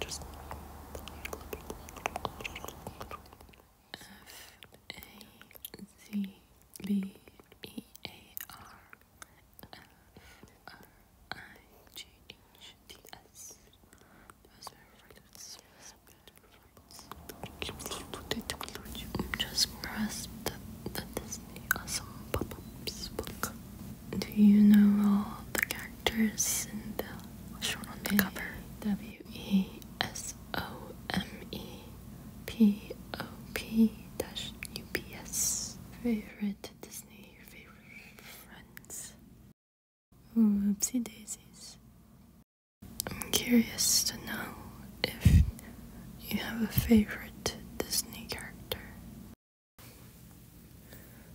Just F A Z B E A R F R I G H T S. Those are Just press the, the, Awesome Pop-Ups book. Do you know all the characters in the shown on the cover? W E S O M E P O P Favorite Disney, favorite friends. Oopsie daisies. I'm curious to know if you have a favorite Disney character?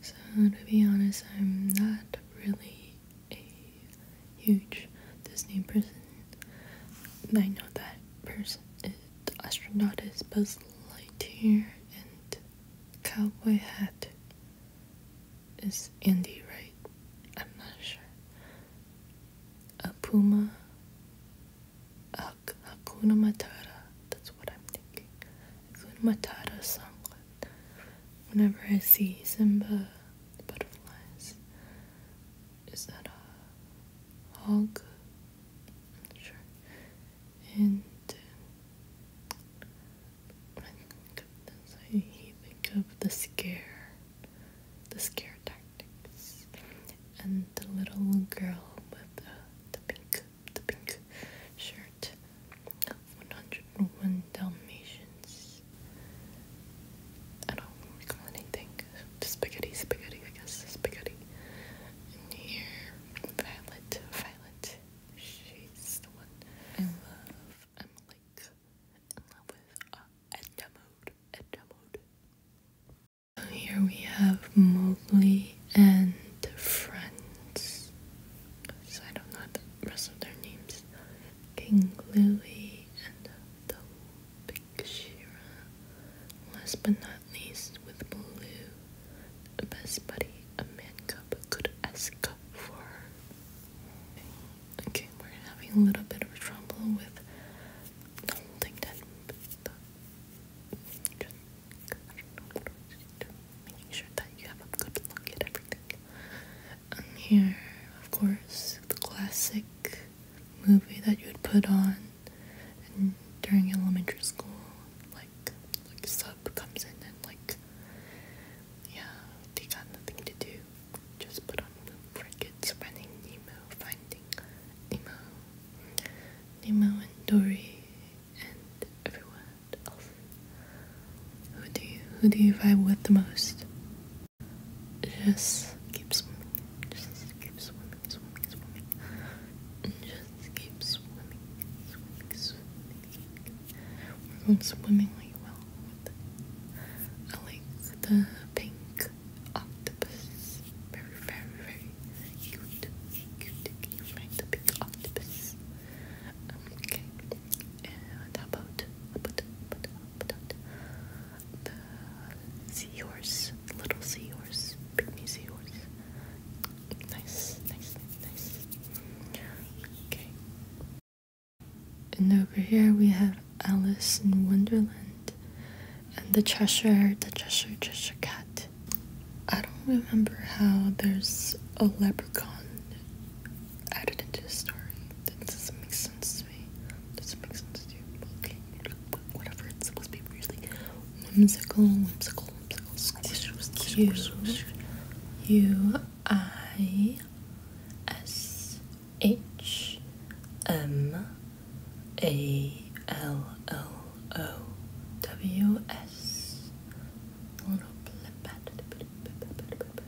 So, to be honest, I'm not really a huge Disney person. I know that person, is, the astronaut is Buzz Lightyear, and Cowboy Hat is Andy, right? I'm not sure a puma, a Hakuna That's what I'm thinking. Hakuna Matata songlet. Whenever I see Simba, butterflies. Is that a hog? I'm not sure. And uh, I think of this, I think of the scare the scare tactics, and the little girl with the, uh, the pink the pink shirt, 101 Dalmatians. I don't recall anything. The spaghetti, spaghetti, I guess, spaghetti. here, Violet, Violet. She's the one I love. I'm like in love with uh, Mode. Edna Mode. here we have Mowgli and friends. I don't know the rest of their names. King Lily and the Big Shira. Last but not least, with Baloo, the best buddy of mankind makeup could ask for. Okay, we're having a little bit of trouble with. do that. Just, Making sure that you have a good look at everything. Um, here, of course, the classic movie that you would put on during elementary school, like like like sub comes in and like yeah, they got nothing to do. Just put on Moon Crickets, Finding Nemo, Finding Nemo, Nemo and Dory, and everyone else. Who do you who do you vibe with the most? Just keep swimming. Just keep swimming swimming, swimming. Just keep swimming, swimming, swimming. We're going swimmingly well I like the pink octopus. Very, very, very cute. Cute, cute, right? The pink octopus. Um, okay. about, about, about, about, the seahorse, little seahorse, pygmy seahorse. Nice, nice, nice. Okay. And over here we have Alice in Wonderland and the Cheshire, the Cheshire, Cheshire Cat. I don't remember how there's a leprechaun added into the story. That doesn't make sense to me. Doesn't make sense to you. Okay. Whatever it's supposed to be really whimsical, whimsical, whimsical. Squish, squish, squish. U I S H M A L L O W S. Little blip, blip, blip, blip, blip, blip, blip, blip,